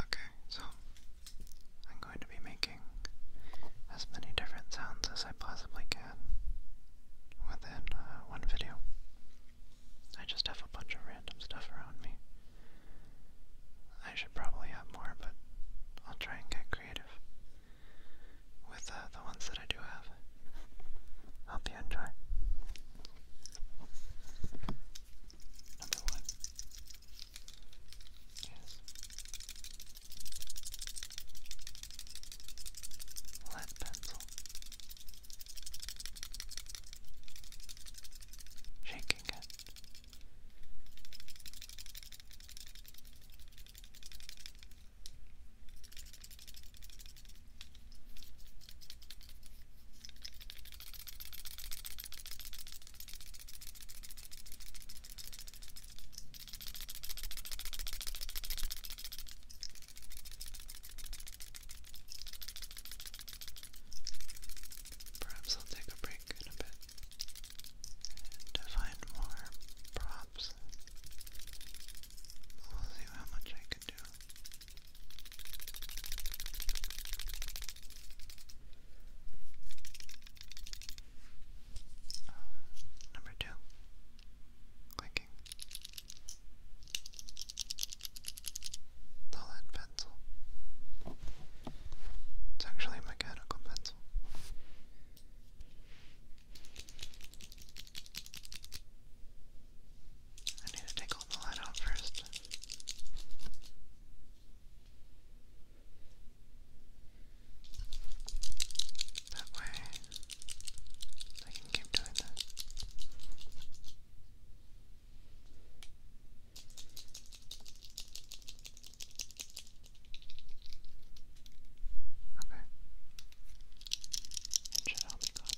Okay, so I'm going to be making as many different sounds as I possibly can within uh, one video. I just have a bunch of random stuff around me. I should probably have more, but I'll try and get creative with uh, the ones that I do have. Hope you enjoy. Number one is lead pencil shaking it. Perhaps I'll take a break in a bit to find more props. We'll see how much I can do. Uh, number two, clicking. Solid pencil. It's actually a mechanical pencil. I need to take all the light out first. That way, I can keep doing that. Okay.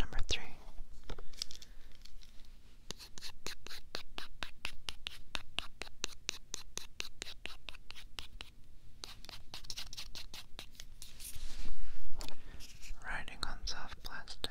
Number three. Riding on soft plastic.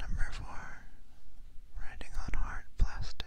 Number four, writing on hard plastic.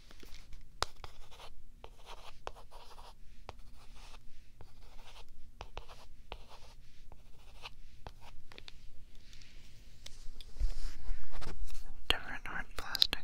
Different hard plastic.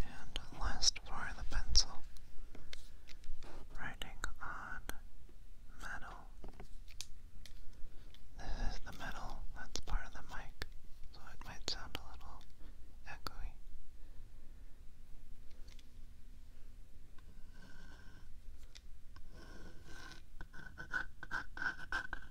And last for the pencil, writing on metal. This is the metal that's part of the mic, so it might sound a little echoey.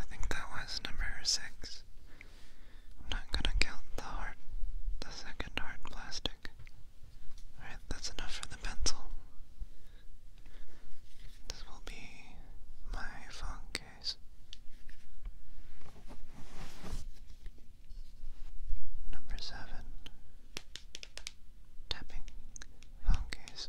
I think that was number six. I'm not gonna count the heart, the second hard plastic. Alright, that's enough for the pencil. This will be my phone case. Number seven. Tapping phone case.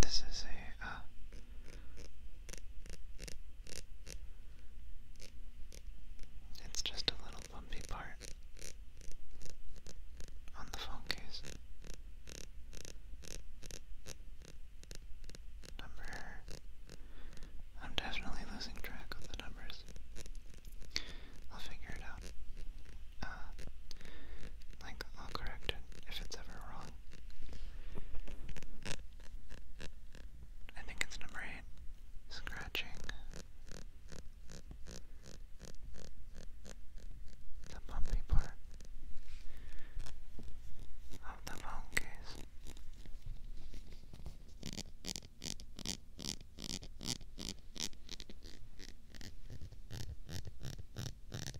This is a uh, it's just a little bumpy part on the phone case. Number. I'm definitely losing track of the numbers. I'll figure it out. Uh, like, I'll correct it if it's ever wrong. I think it's number eight. Scratching. The bumpy part of the phone case.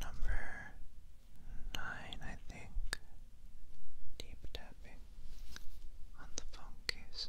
Number nine, I think. Deep tapping on the phone case.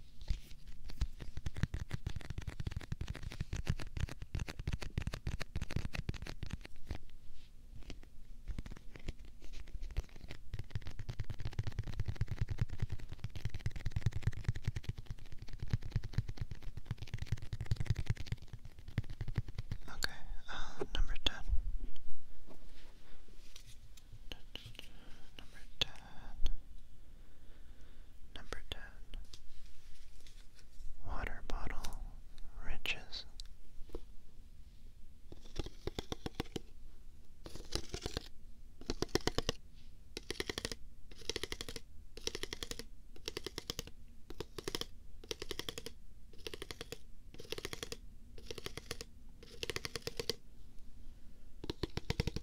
Okay, uh, number ten. Number ten. Number ten. Water bottle riches.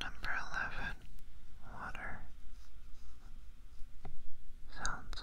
Number 11 Water Sounds.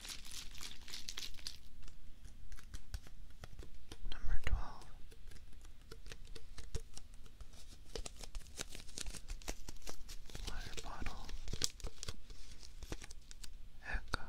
Number twelve. Water bottle. Echo.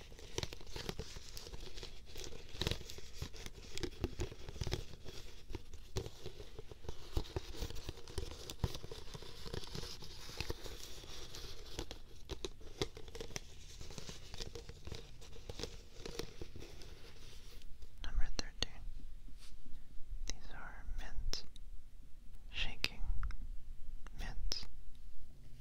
Number thirteen. These are mint, shaking, mint,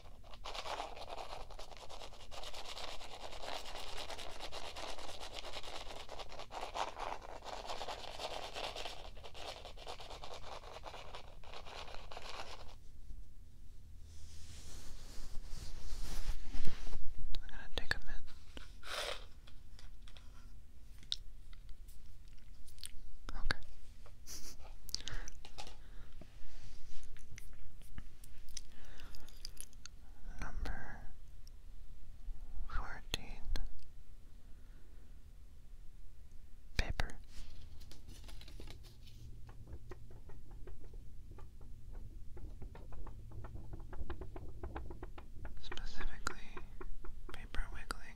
I'm gonna take a minute. Okay. Number fourteen paper. Specifically, paper wiggling.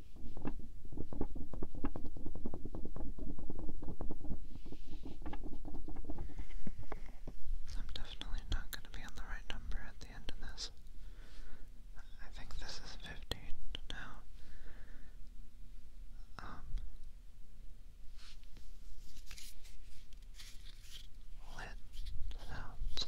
I'm definitely not going to be on the right number at the end of this. I think this is 15 now. Um, lit sounds.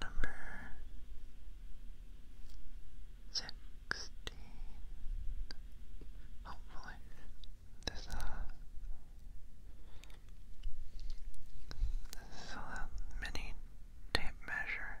Number sixteen. Hopefully, this uh, so that mini tape measure.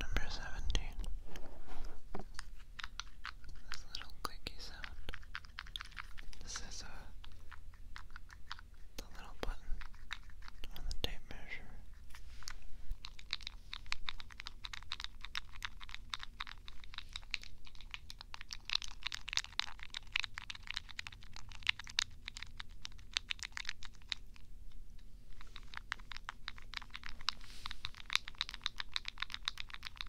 Number seventeen. This little clicky sound. This is a uh, the little button on the tape measure.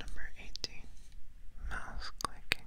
Number 18. Mouse clicking.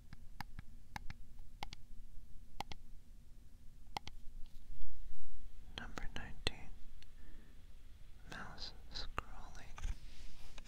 Number nineteen, mouse scrolling. Number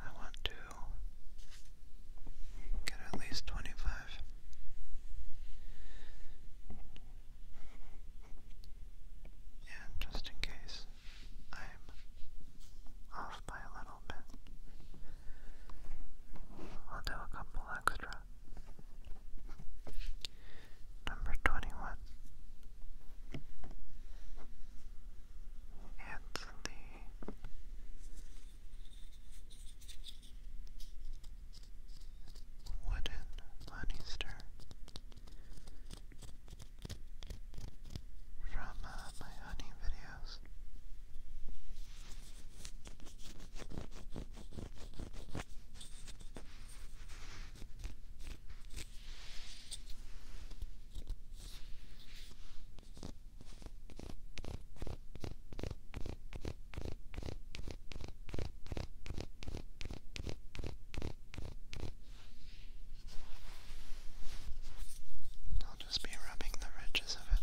I want to get at least twenty five. And just in case I'm off by a little bit, I'll do a couple extra. Number 21. It's the wooden money from uh, my honey videos. I'll just be rubbing the ridges of it.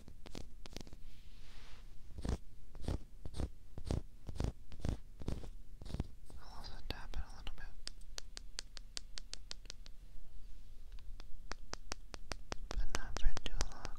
I'll also tap it a little bit. But not for too long.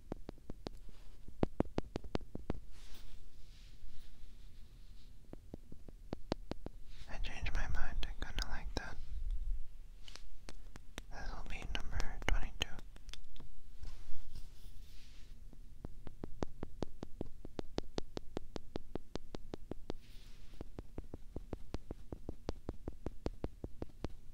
I changed my mind, I kinda like that. This will be number 22.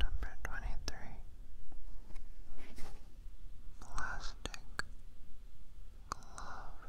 Number twenty three Plastic Glove.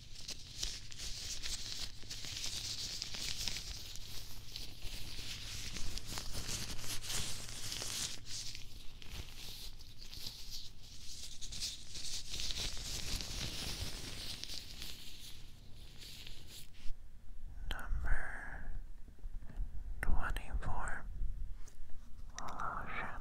Number twenty four lotion.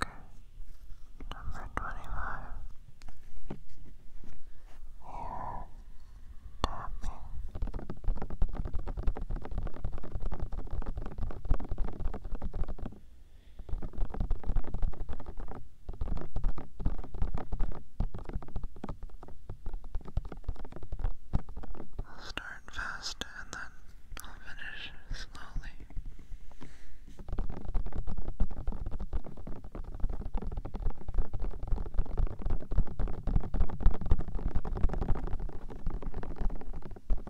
Okay, number twenty five. Ear tapping. I'll start fast and then I'll finish slowly.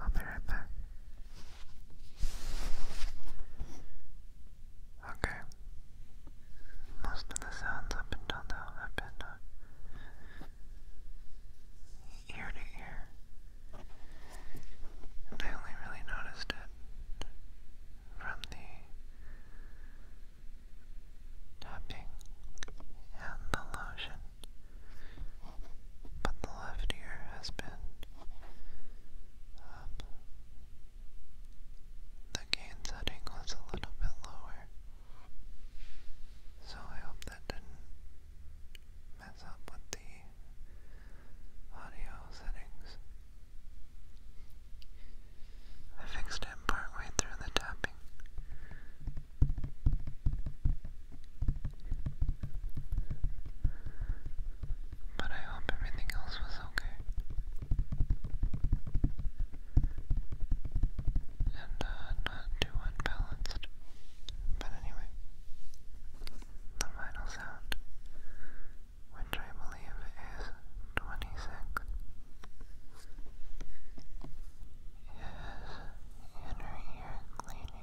I'll be right back. Okay. Most of the sounds up until now have been uh, ear to ear. And I only really noticed it from the tapping and the lotion but the left ear has been um, The gain setting was a little bit lower, so I hope that didn't mess up with the audio settings. I fixed it partway through the tapping. But I hope everything else was okay. And uh, not too unbalanced. But anyway, the final sound, which I believe is 26, is inner ear cleaning.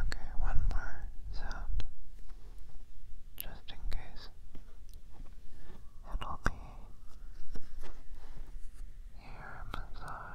Okay, one more sound, just in case. It'll be ear massage.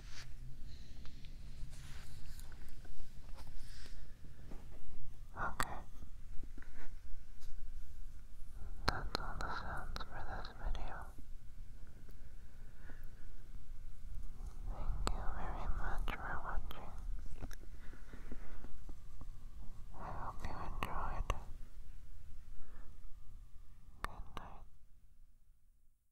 Okay. That's all the sounds for this video. Thank you very much for watching. I hope you enjoyed. Good night.